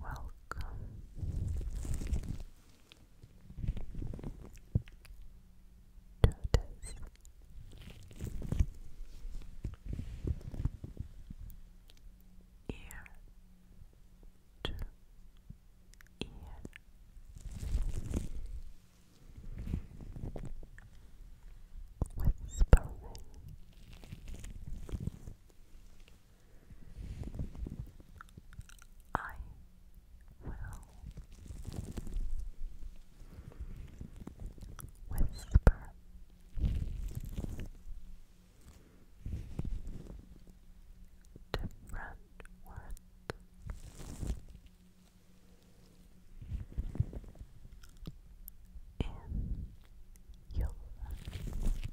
Welcome. To ear to ear whispering I will whisper different words in your ear. Ear to ear, ear to ear,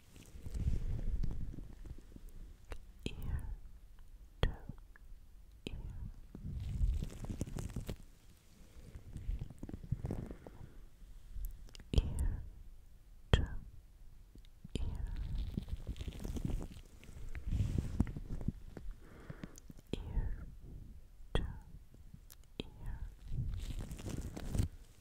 ear to ear. Ear to ear. Ear to ear. Ear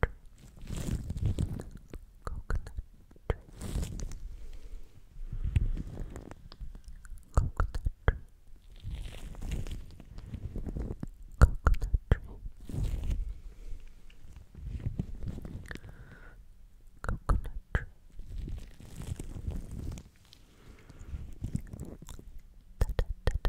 coconut, coconut, coconut tree. Coconut tree. Da, da, da, da, da, da, da, da.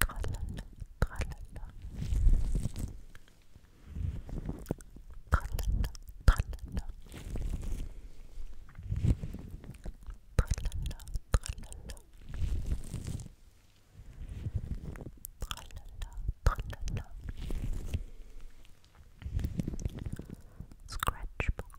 Tralala, tralala. Tralala, tralala. Tralala, tralala. Tralala, tralala. Scratchbook,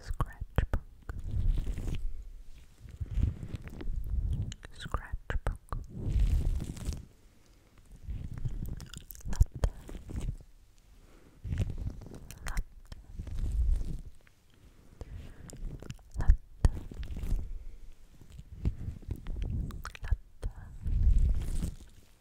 Scratchbook Scratch Scratchbook Latte Latte Latte Latte